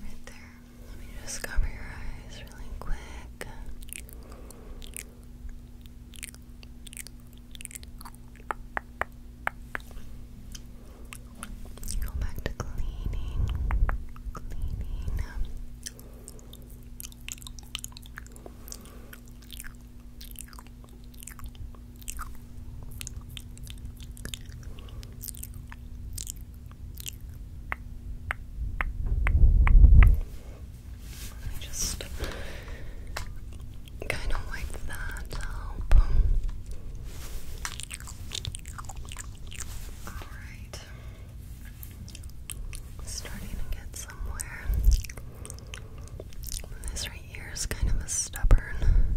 Right there. Let me just cover your eyes really quick. Go back to cleaning, cleaning. I just kind of wipe that up. Alright. Starting to get somewhere. This right here is kind of a stubborn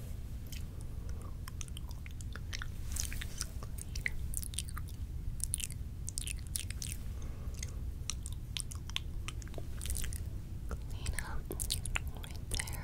Clean up right there.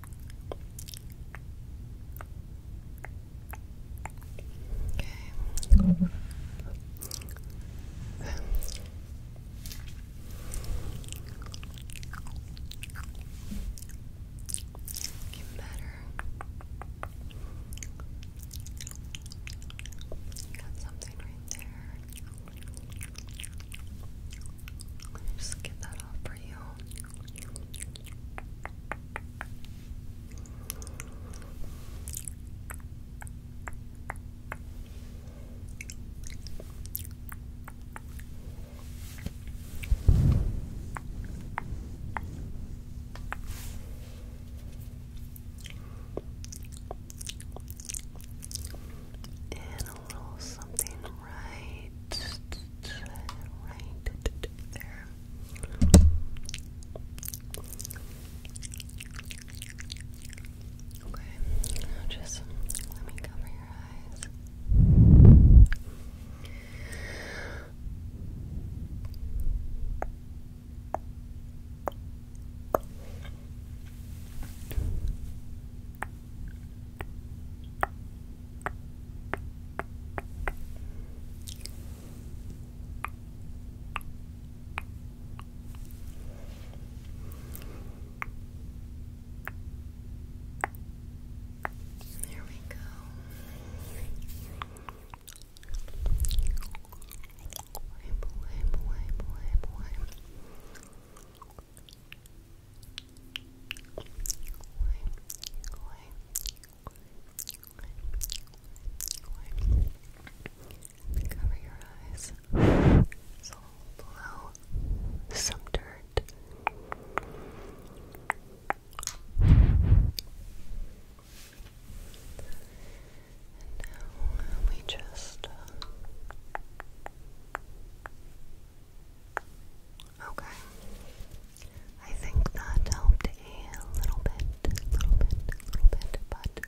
Okay. better. Got something right there. Just get that off for you. And a little something right right there. Okay, now just let me cover your eyes. There we go. Boy, boy, boy, boy, boy. Cover your eyes. So blow some dirt. And now we just uh, Okay. I think that helped a little bit, little bit, little bit, but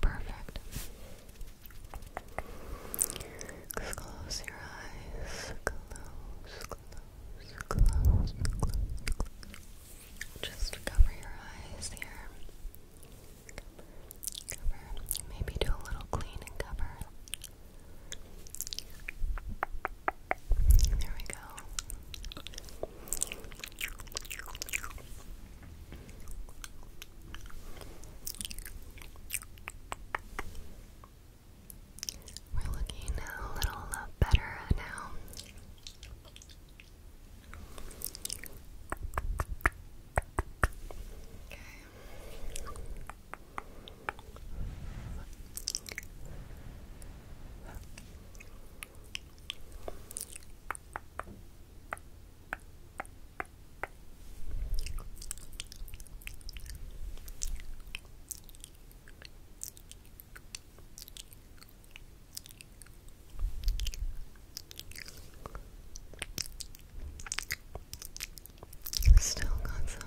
Perfect. Just close your eyes. Close, close, close, close, Just cover your eyes here. Cover. Maybe do a little clean and cover. There we go. We're looking a little uh, better now. Okay. Still got some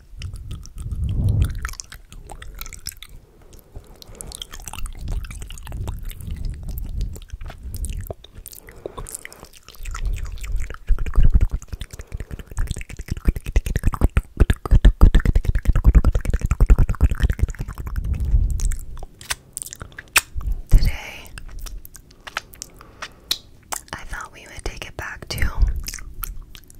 Today, I thought we would take it back to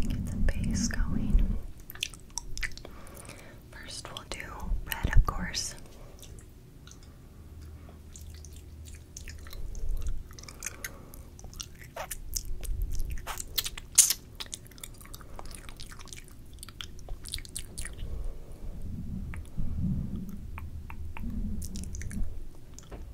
Get the base going. First, we'll do red, of course.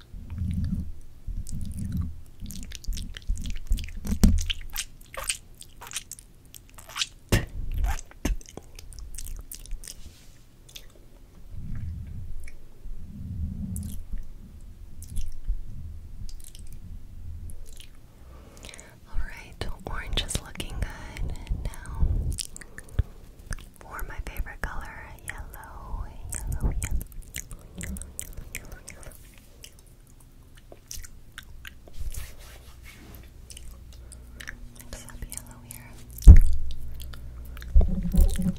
All right, orange is looking good now for my favorite color, yellow, yellow, yellow, yellow, yellow, yellow, yellow. here. Here we go.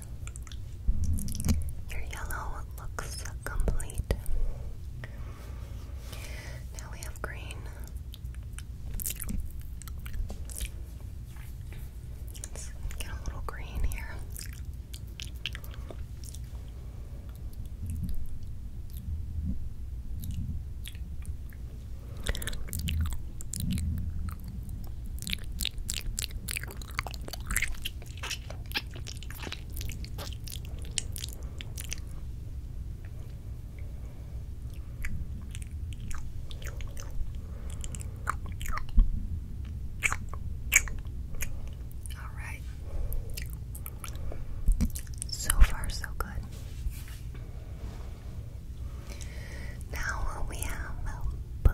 Your yellow looks complete. Now we have green. Let's get a little green here. All right. So far, so good. Now we have blue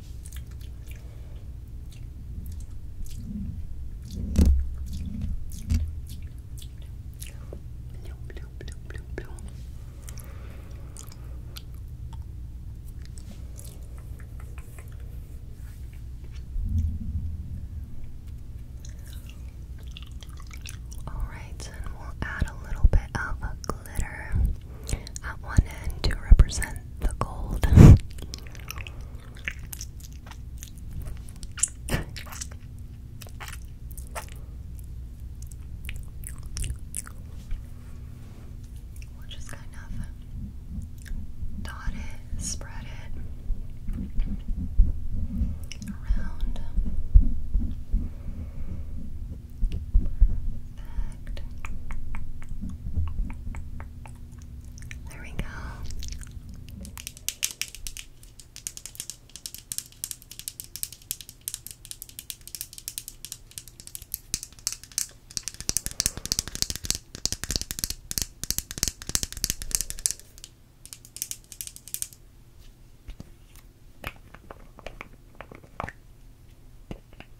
Bloom, bloom, All right, and we'll add a little bit of at one end to represent the gold. We'll kind of dot spread it around. Perfect. There we go.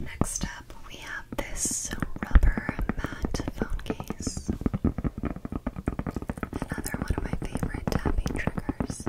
Next up, we have this rubber matte phone case. Another one of my favorite tapping triggers.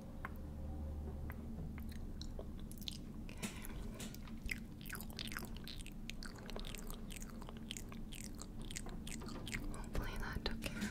Hopefully that took care of it.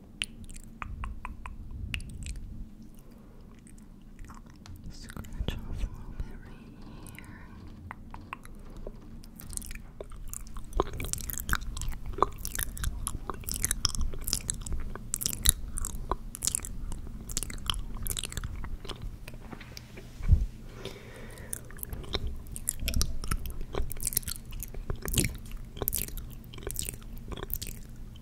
Scratch off a little bit right here.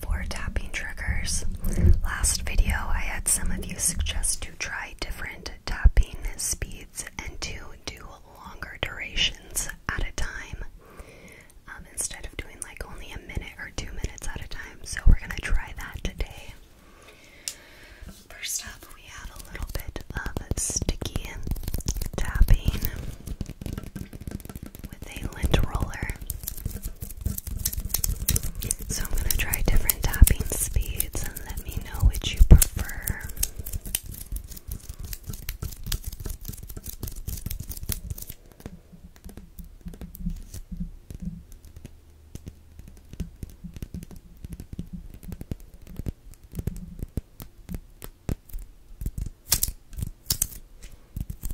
for tapping triggers. Last video, I had some of you suggest to try different tapping speeds and to do longer durations at a time um, instead of doing like only a minute or two minutes at a time. So, we're gonna try that today. First up, we have a little bit of sticky tapping with a lint roller. So I'm going to try different tapping speeds and let me know which you prefer.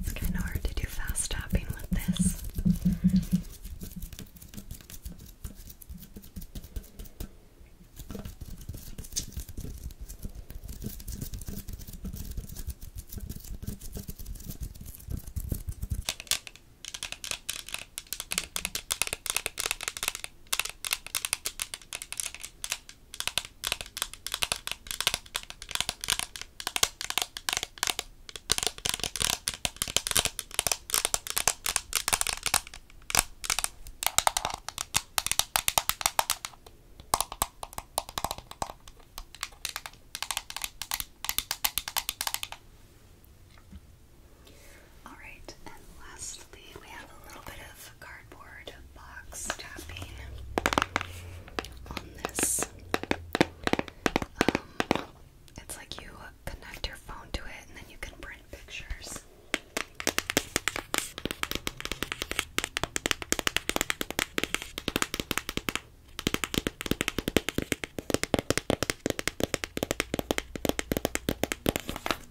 It's kind of hard to do fast tapping with this. All right, and lastly, we have a little bit of cardboard box tapping on this. Um, it's like you connect your phone to it and then you can print pictures.